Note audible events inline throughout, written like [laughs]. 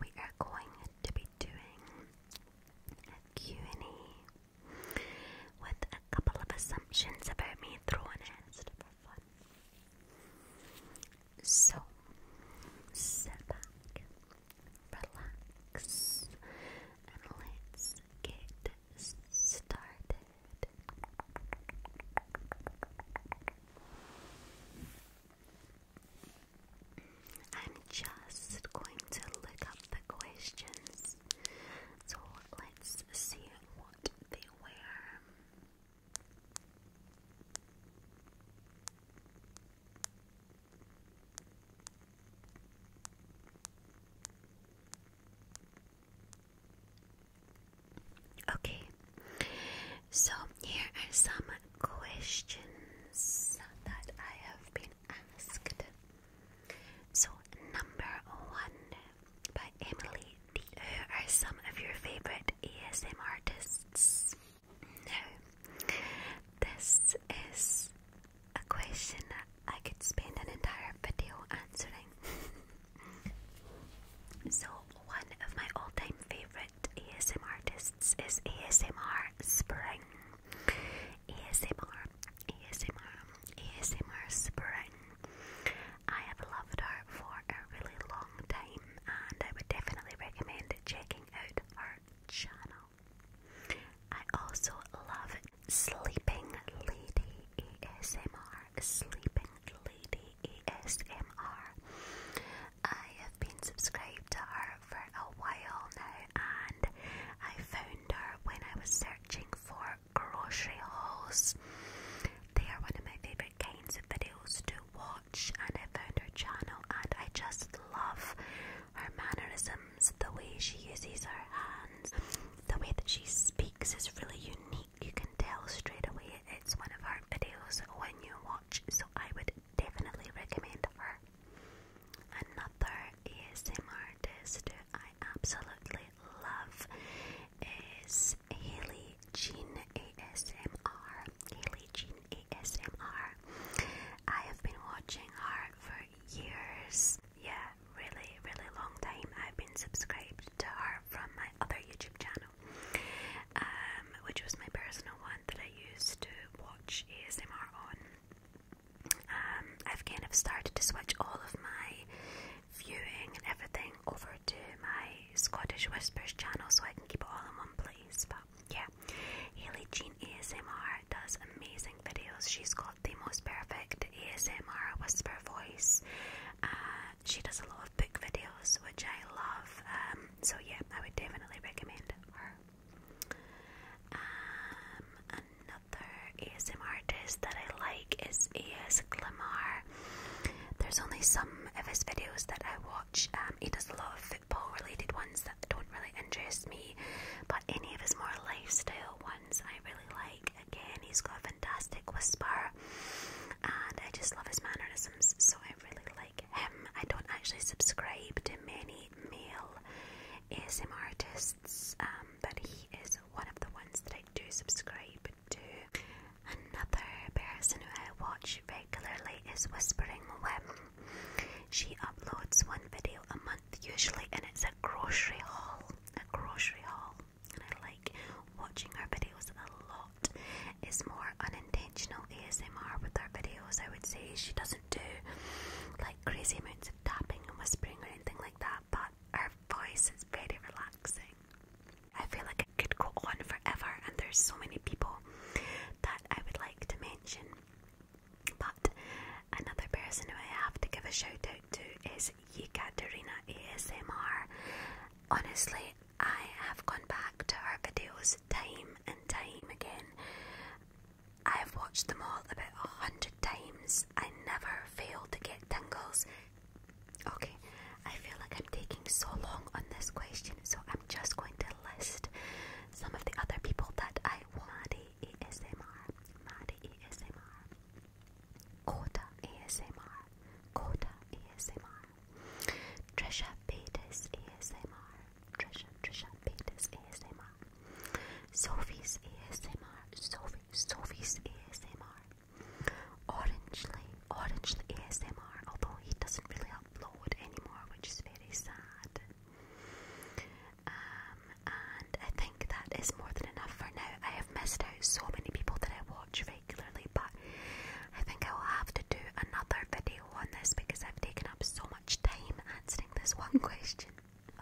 we are going to be doing Q&A with a couple of assumptions about me throwing it for fun. So, sit back, relax, and let's get started. I'm just going to look up the questions. So let's see what they were. Okay, so here are some questions that I have been asked. So, number one by Emily Who are some of your favorite ASM artists? Now, this is a question I could spend an entire video answering. [laughs] So, one of my all time favorite ASMR artists is ASMR Spring. ASMR, ASMR, ASMR Spring. I have loved her for a really long time and I would definitely recommend checking out her channel. I also love Sleeping Lady. ASMR, Sleeping Lady ASMR. I have been subscribed to her for a while now, and I found her when I was searching for grocery hauls. They are one of my favourite kinds of videos to watch, and I found her channel, and I just love her mannerisms, the way she uses her hands, the way that she speaks is really unique you can tell straight away it's one of her videos when you watch, so I would definitely recommend her. Another ASM I absolutely love is Haley Jean ASMR. Haley Jean ASMR. I have been watching her for years. Yeah, really, really long time. I've been subscribed to her from my other YouTube channel, um, which was my personal one that I used to watch ASMR on. Um, I've kind of started to switch all of my viewing and everything over to my Scottish Whispers channel so I can keep it all in one place. But yeah, Haley Jean ASMR does amazing videos. She's got the most perfect ASMR whisper voice. Um, she does a lot of book videos, which I love. Um, so yeah, I would definitely recommend her. Um, another ASM artist that I like is AS Glamar. There's only some of his videos that I watch. Um, he does a lot of football related ones that don't really interest me, but any of his more lifestyle ones I really like again he's got a fantastic whisper and I just love his mannerisms so I really like him. I don't actually subscribe to many male ASM artists um, but he is one of the ones that I do subscribe to. Another person who I watch regularly is Whispering Wim. She uploads one video a month usually and it's a grocery haul. A grocery haul and I like watching her videos a lot. It's more unintentional ASMR with her videos, I would say. She doesn't do like crazy amounts of tapping and whispering or anything like that, but her voice is very relaxing. I feel like it could go on forever, and there's so many people that I would like to mention. But another person who I have to give a shout to to is Yekaterina ASMR. Honestly, I have gone back to her videos time and time again. I've watched them all about a hundred times. I never fail to get tingles. Okay, I feel like I'm taking so long on this question, so I'm just going to list some of the other people that I want. Maddie ASMR, Maddie ASMR, Coda ASMR, Coda ASMR, Trisha Paytas ASMR, Trisha Trisha Paytas ASMR, Sophie's ASMR, Sophie Sophie's ASMR, Orange Orangely ASMR, although he doesn't really upload anymore, which is very sad. Um, and I think that is more than enough for now. I have missed out so many people that I watch regularly, but I think I will have to do another video on this because I've taken up so much time answering this one [laughs] question.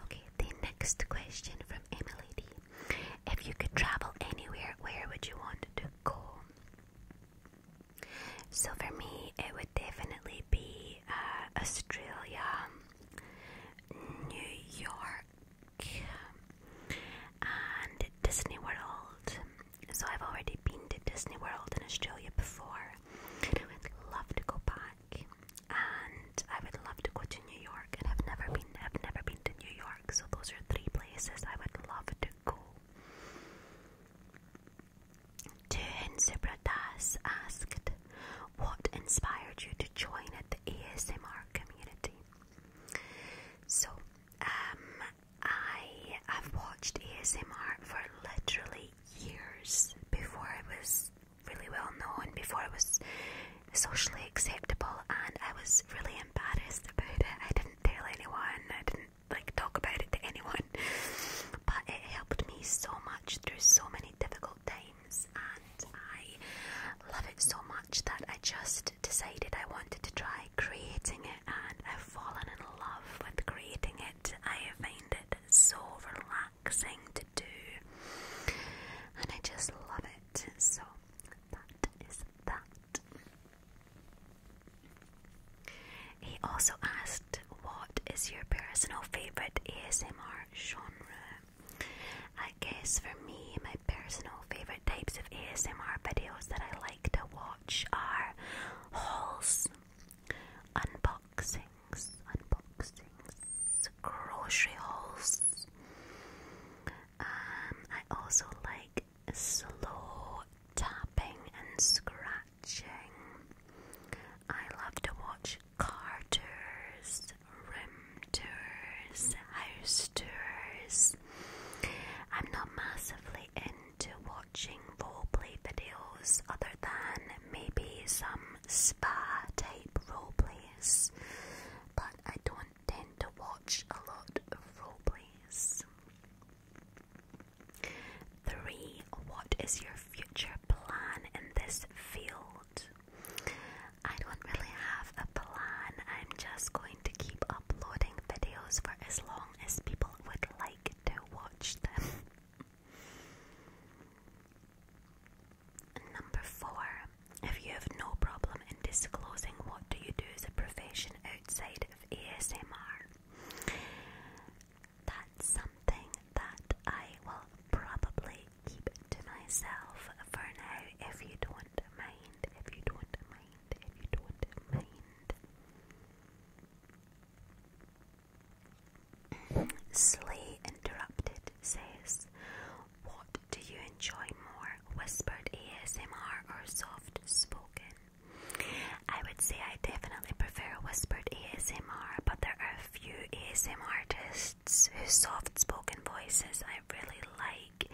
Okay, the next question from Emily If you could travel anywhere, where would you want to go? So for me, it would definitely be uh, Australia, New York and Disney World. So I've already been to Disney World in Australia before, and I would love to go back. And I would love to go to New York, and I've never been. I've never been to New York, so those are three places I would love to go. To Hinsu Pradas asked, what inspired you to join the ASMR community? So, um, I have watched ASMR for literally years before it was really well known, before it was socially acceptable, and I was really embarrassed about it. I didn't tell anyone, I didn't like talk about it to anyone, but it helped me so much through so many difficult multiple and I love it so much that I just decided I wanted to try creating it, and I've fallen in love with creating it. I find it so relaxing to do, and I just love it. So that is that. He also asked, What is your personal favourite ASMR genre? I guess for me, my personal favourite types of ASMR videos that I like to watch are hauls, unboxings, unboxings, grocery hauls. Um, I also like slow tapping and scratching. I love to watch car tours, room I'm not massively into watching roleplay videos other than maybe some spa type roleplays, but I don't tend to watch a lot of roleplays. 3. What is your future plan in this field? I don't really have a plan. I'm just going to keep uploading videos for as long as people would like to watch them. [laughs] Number four, if you have no problem in disclosing what do you do as a profession outside of ASMR, that's something that I will probably keep it to myself for now if you don't mind, if you don't mind, if you don't mind. [clears throat] Slay Interrupted says, What do you enjoy more, whispered ASMR or soft spoken? I would say I definitely prefer whispered ASMR, but there are a few ASMR artists artists whose soft spoken voices I really like,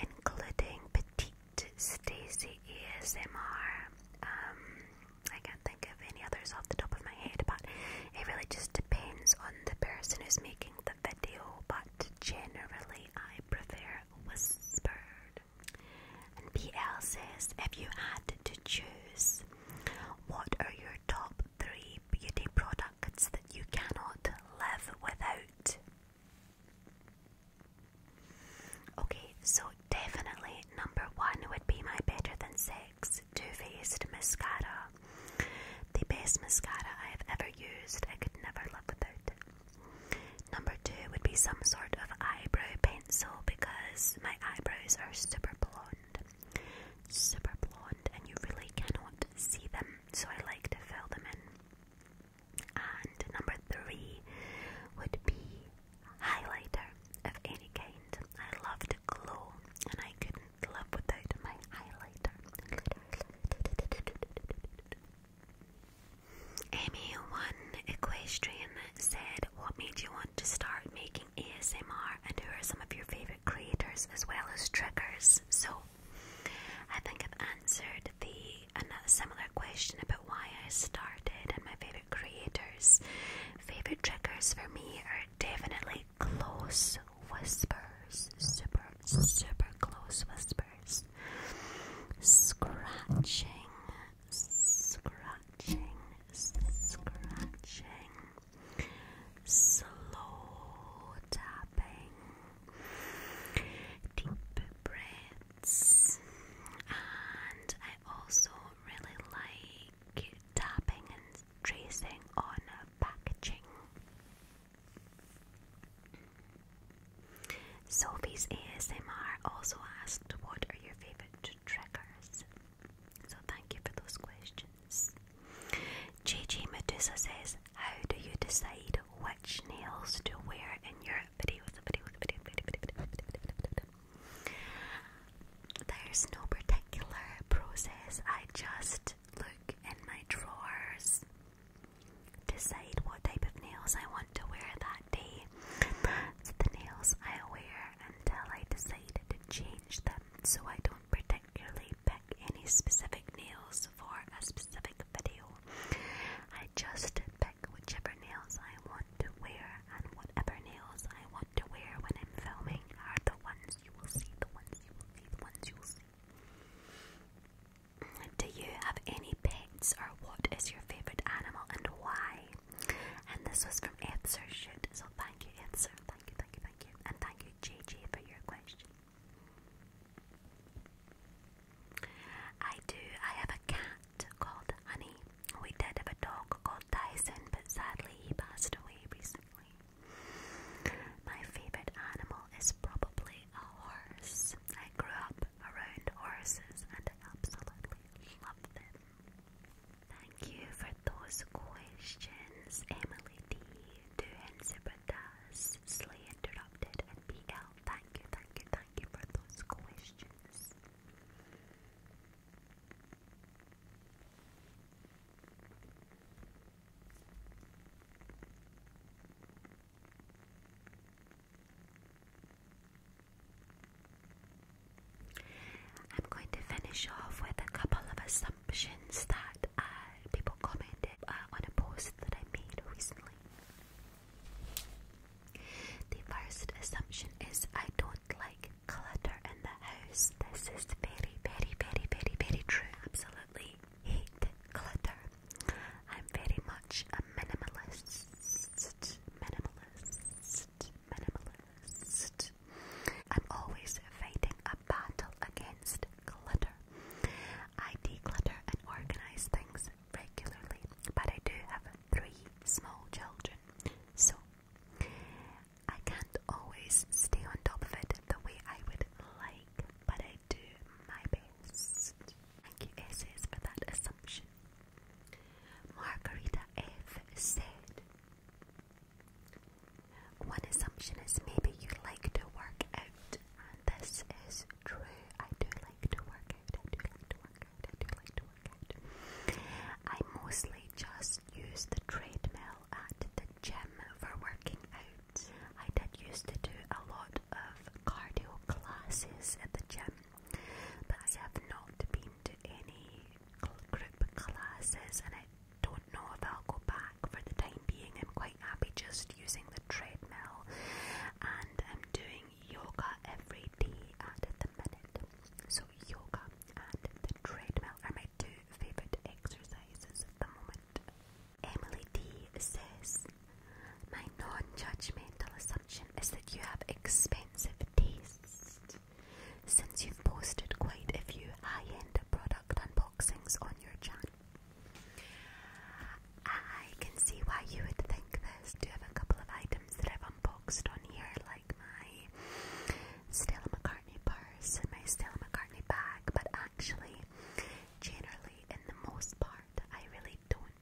including Petite Stacy ASMR. Um, I can't think of any others off the top of my head, but it really just depends on the person who's making the video. But generally, I prefer whispered. And BL says, if you had to choose, what are your top three beauty products that you cannot live without. Okay, so definitely number one would be my Better Than Sex Too Faced Mascara. The best mascara I have ever used, I could never live without Number two would be some sort of eyebrow pencil because my eyebrows are super blonde super blonde and you really cannot see them, so I like to fill them in. And number three would be highlighter of any kind. I love to glow and I couldn't live without my highlighter. Amy, one equestrian said, What made you want to start making? ASMR and who are some of your favorite creators as well as triggers. So I think I've answered the another similar question about why I started and my favorite creators. Favorite triggers for me are definitely close whispers, super super close whispers, scratching, scratching, scratching slow tapping, deep breaths, and I also really like tapping and tracing on packaging. Sophie's ASMR also asked, What are your favourite triggers? So thank you for those questions. JJ Medusa says, How do you decide which nails to wear in your videos? Video, video, video, video, video, video. There's no particular process. I just look in my drawers, decide what type of nails I want to wear that day. the nails I wear until I decide to change them so I don't particularly pick any specific nails for a specific video. I just pick whichever nails I want to wear and whatever nails I want to wear when I'm filming are the ones you will see, the ones you will see, the ones you will see. Do you have any pets or what is your favourite animal and why? And this was from Answer Shoot, so thank you, Answer. Thank you, thank you, thank you. And thank you, JJ, for your question. I do. I have a cat called Honey. We did have a dog called Tyson, but sadly he passed away recently. My favorite animal is probably a horse. I grew up around horses and I absolutely love them. Thank you for those questions, Emily D, Duhan Zibradas, Slay Interrupted, and Thank you, thank you, thank you for those questions. I'm going to finish off with a couple of assumptions that uh, people commented uh, on a post that I made recently. The first assumption is I don't like clutter in the house. This is very, very, very, very, very true. Absolutely hate clutter. I'm very much a minimalist. Minimalist minimalist, I'm always fighting a battle against clutter. I declutter and organize things regularly, but I do have three small children, so I can't always stay on top of it the way I would like, but I do my best. Thank you, SS, for that assumption. Margarita F. said, One assumption is maybe you like to work out, and this is true. I do like to work out, I do like to work out, I do like to work out. I mostly just use the treadmill at the gym for working out. I did used to do a lot of cardio classes at the gym but I have not been to any group classes and I don't know if I'll go back for the time being. I'm quite happy just using the treadmill and I'm doing yoga every day at the minute. So yoga and the treadmill are my two favourite exercises at the moment. Emily D says my non-judgmental assumption is that you have expensive taste. Since you've posted quite a few high end product unboxings on your channel, I can see why you would think this. Do have a couple of items that I've unboxed on here, like my Stella McCartney purse and my Stella McCartney bag, but actually, generally, in the most part, I really don't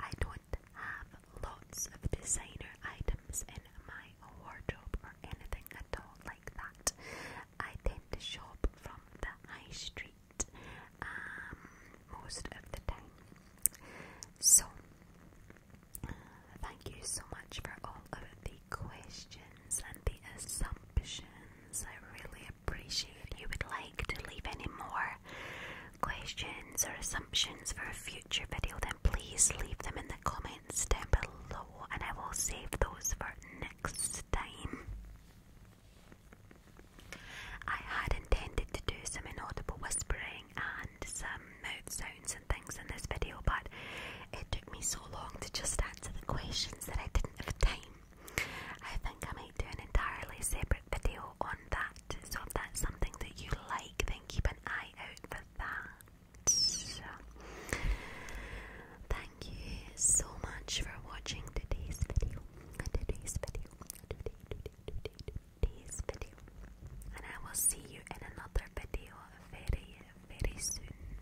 I don't have lots of designer items in my wardrobe or anything at all like that. I tend to shop from the high street um, most of the time. So, thank you so much for all of the questions and the assumptions. I really appreciate you would like to leave any more questions or assumptions for a future video, then please leave them in the comments down below and I will save those for next time. I had intended to do some inaudible whispering and some mouth sounds and things in this video, but it took me so long to just answer the questions that I didn't have time I think I might do an entirely separate video on that. So if that's something that you like, then keep an eye out for that. thank you so much for watching today's video. Today's video. today's video. And I will see you in another video very, very soon.